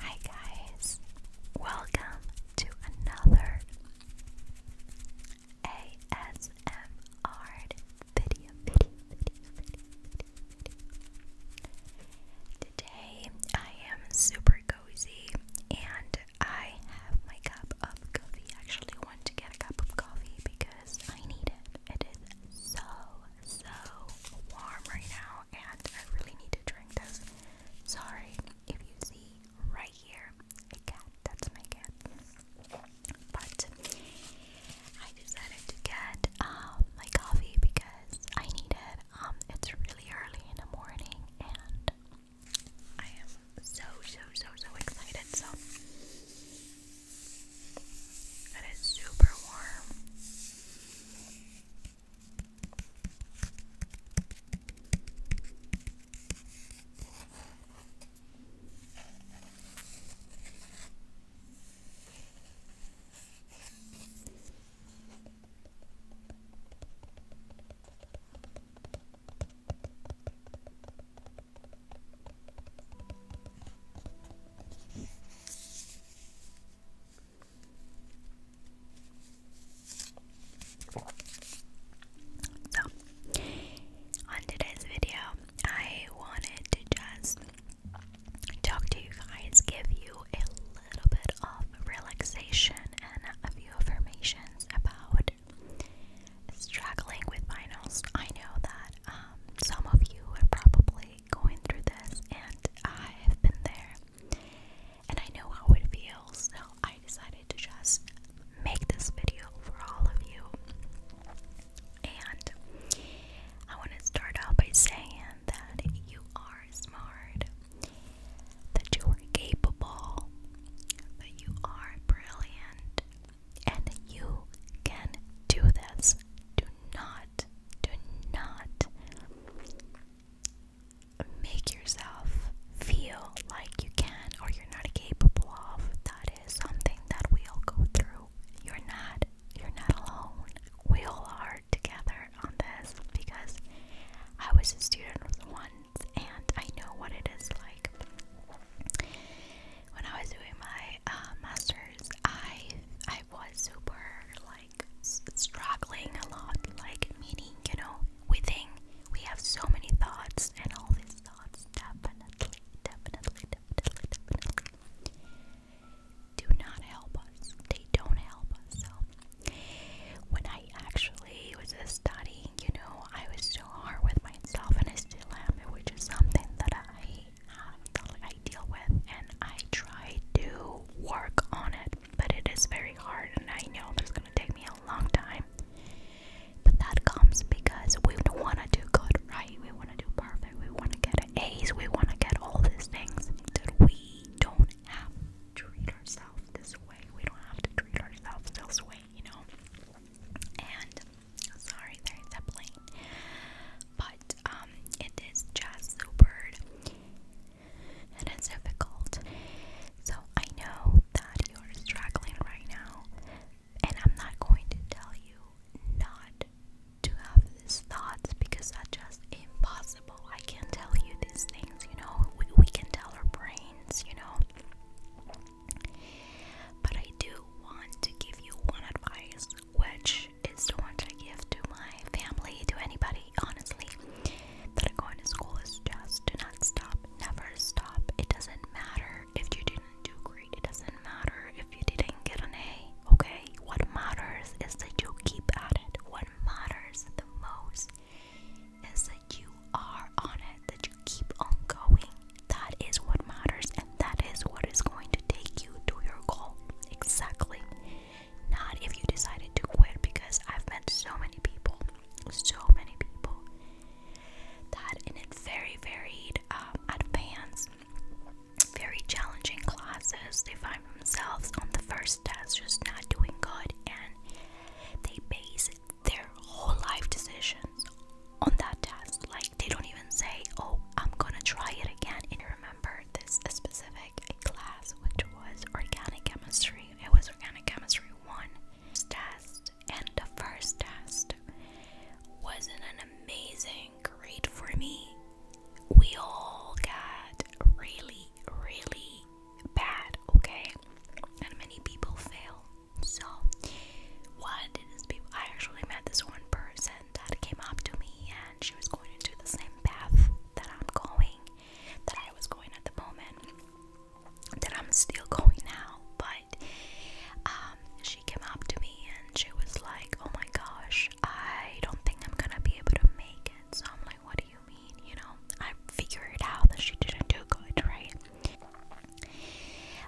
Hi guys, welcome to another ASMR video, Today I am super cozy and I have my cup of coffee. actually want to get a cup of coffee because I need it. It is so so warm right now, and I really need to drink this. Sorry if you see right here a cat, that's my cat. But I decided to get um, my coffee because I needed. it. Um, it's really early in the morning, and I am so so so so excited. So and it's super warm. So, on today's video, I wanted to just talk to you guys, give you a little bit of relaxation and a few affirmations about struggling with finals. I know that um, some of you are probably going through this, and I have been there, and I know how it feels. So I decided to just make this video for all of you, and I want to start out by saying that you are smart, that you are capable, that you are brilliant, and you can do this. Do not, do not make yourself feel like you can or you're not capable of. That is something that we all go through. You're not, you're not alone. We all are together on this because I was a student once and I know what it is like when I was doing my uh, masters, I I was super like struggling a lot, like meaning you know we think we have so many thoughts, and all these thoughts definitely, definitely, definitely, definitely do not help us. They don't help us. So when I actually was studying, you know, I was so hard with myself and I still am, which is something that I have, I deal with, and I try to work on it, but it is very hard, and I know it's gonna take me a long time. But that comes because we want to do good, right? We want to do perfect. We want to get A's. We want to get all these things that we don't have. to Treat ourselves this way. We don't have to treat ourselves this way you know. And sorry, there's a plane, but um, it is just super and it's difficult. So I know that you're struggling right now, and I'm not going to tell you not to have these thoughts because that's just impossible. I can't tell you these things, you know. We, we can tell our brains, you know. But I do want to give you one advice, which is the one I give to my family, to anybody, honestly, that are going to school is just do not stop, never stop. It doesn't matter if you didn't do great, it doesn't matter if you didn't get an A, okay? What matters is that you keep at it. What matters the most is that you are on it, that you keep on going. That is what matters, and that is what is going to take you to your goal. Exactly. Not if you decided to quit, because I've met so many people, so many people that in a very varied, um, advanced, very challenging classes, they find themselves on the first test just not doing good, and they base it their whole life decisions on that test. Like, they don't even say, Oh, I'm gonna try it again. And remember this specific class, which was organic chemistry, it was organic chemistry one test, and the first test wasn't an amazing grade for me. We all got really, really bad, okay? And many people fail. So, what I actually met this one person that came up to me and she was going into the same path that I'm going, that I was going at the moment, that I'm still going now. But um, she came up to me and she was like, Oh my gosh, I don't think I'm gonna be able to make it. So, I'm like, What do you you mean? You know, I figured out that she didn't do good, right?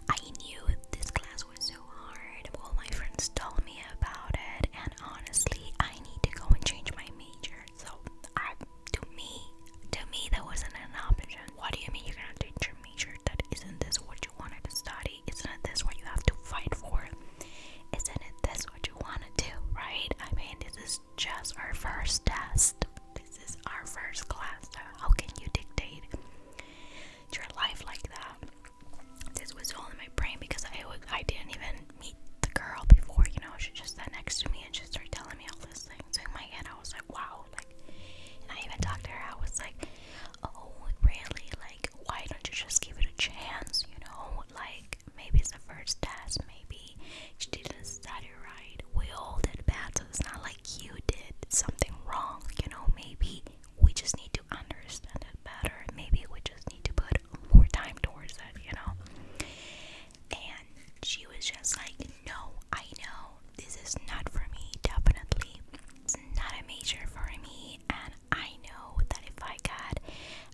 I knew this class was so hard. All my friends told me about it, and honestly, I need to go and change my major. So, I, to me, to me, that wasn't an option. What do you mean you're gonna change your major? That isn't this what you wanted to study? Isn't this what you have to fight for? Isn't this what you wanna do? Right? I mean, this is just our first test. This is our first class. how can you dictate your life like that? This was all in my brain because I I didn't even meet the girl before. You know, she just sat next to me and she started telling me all these things. So in my head, I was like, wow. Like, and I even talked to her. I was like, oh, really? Like, why don't you just give it a chance? You know, like like maybe it's the first test, maybe she didn't study right. We all did bad, so it's not like you did something wrong, you know. Maybe we just need to understand it better, maybe we just need to put more time towards it, you know. And she was just like, No, I know this is not for me, definitely. It's not a major for me, and I know that if I got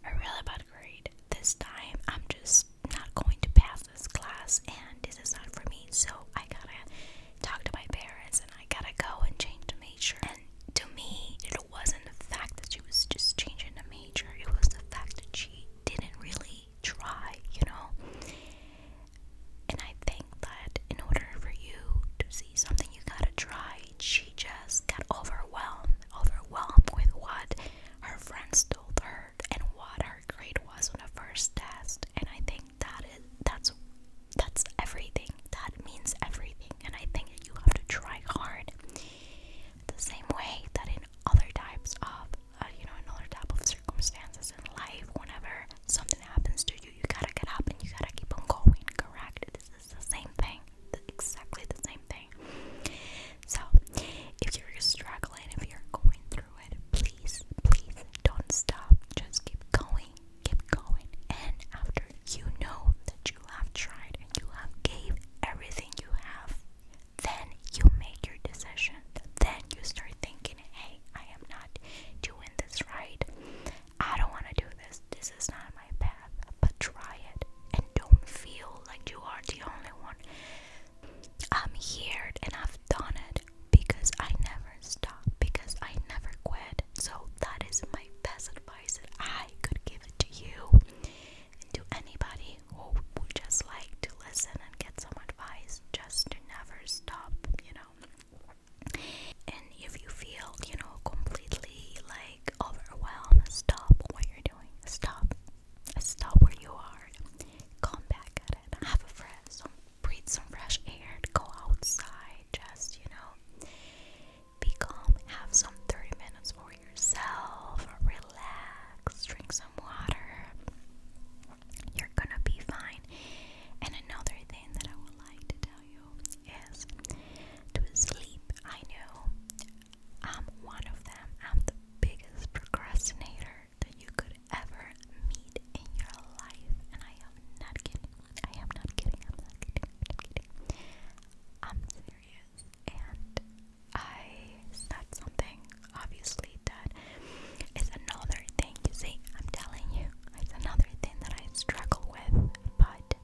a really bad grade this time, I'm just not going to pass this class, and this is not for me. So I gotta talk to my parents, and I gotta go and change the major. And to me, it wasn't the fact that she was just changing the major; it was the fact that she didn't really try, you know. And I think that in order for you to see something, you gotta try she just got overwhelmed, overwhelmed with what her friends told her and what her grade was on the first test. And I think that is that's that's everything. That means everything. And I think that you have to try hard. The same way that in other types of uh, you know, another type of circumstances in life, whenever something happens to you, you gotta get up and you gotta keep on going, correct? is the same thing, exactly the same thing. So, if you're struggling, if you're going through it, please, please don't stop. Just keep going, keep going. And after you know that you have tried and you have gave everything you have, then you make your decision. Then you start thinking, hey, I am not doing this right. I don't want to do this. This is not my path. But try it and don't feel like you are the only one. I'm here and I've done it because I never stopped, because I never quit. So that is my best advice that I could give it to you and to anybody who would just like to listen and get some advice just to never stop, you know. And if you feel, you know, completely like overwhelmed, stop what you're doing. Stop. Stop where you are. Come back at it. Have a friend. some, breathe some fresh air. Go outside. Just, you know, be calm. Have some 30 minutes for yourself. Relax. Drink some water. You're gonna be fine. And another thing that I would like to tell is to sleep. I know I'm one of them. I'm the biggest procrastinator that you could ever meet in your life, and I am not kidding. I am not kidding. I'm kidding. I'm kidding. I'm serious, and I said something obviously that is another you see, I'm telling you, it's another thing that I struggle with, but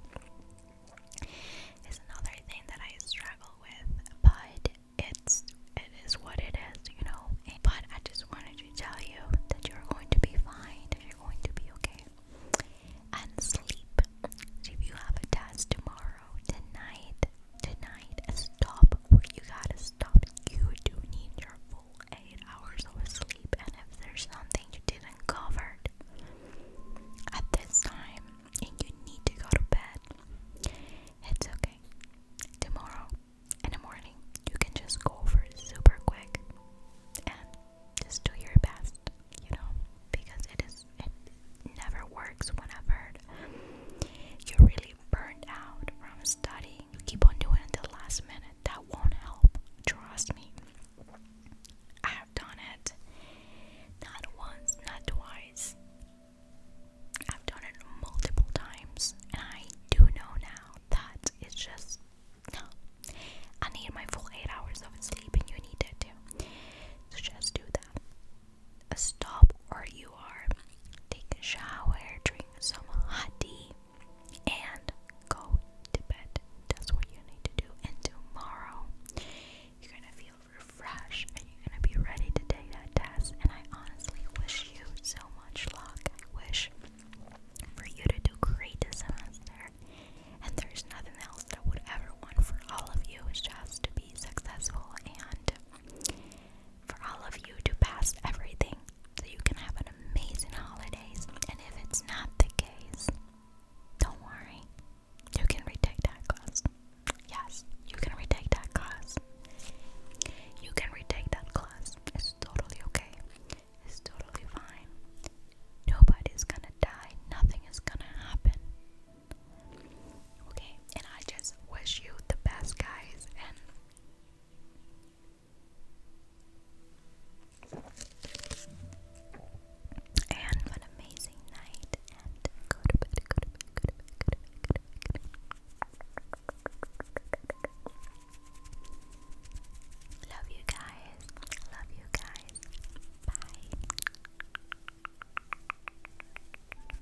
it's another thing that I struggle with, but it's it is what it is, you know. But I just wanted to tell you that you're going to be fine, that you're going to be okay. And sleep. if you have a test tomorrow, tonight, tonight, stop. You gotta stop. You do need your full eight hours of sleep, and if there's something you didn't cover at this time and you need to go to bed, it's okay. Tomorrow in the morning, you can just go over super quick and just do your best, you know, because it is it never works when you're really burned out from studying. keep on doing until last minute that won't help. Trust me. I have done it. Not once, not twice. I've done it multiple times, and I do know now that it's just I need my full eight hours of sleep, and you need it too. So just do that. Stop, or you take a shower, drink some hot tea, and go to bed. That's what you need to do. And tomorrow, you're gonna feel refreshed and you're gonna be ready to take that test. And I honestly wish you so much luck. I wish for you to do great this semester. And there's nothing else that I would ever want for all of you. It's just to be successful and for all of you to pass everything so you can have an amazing holidays. And if it's not the case, don't worry. You can retake that class. Yes, you can retake that class. You can retake that class. It's totally okay. It's totally fine. Nobody's gonna die. Nothing is gonna happen. Okay, and I just wish you the best, guys. And and an amazing night and go to bed, go to bed, go to bed, go to bed, go to bed, go to bed. Love you guys. Love you guys. Bye.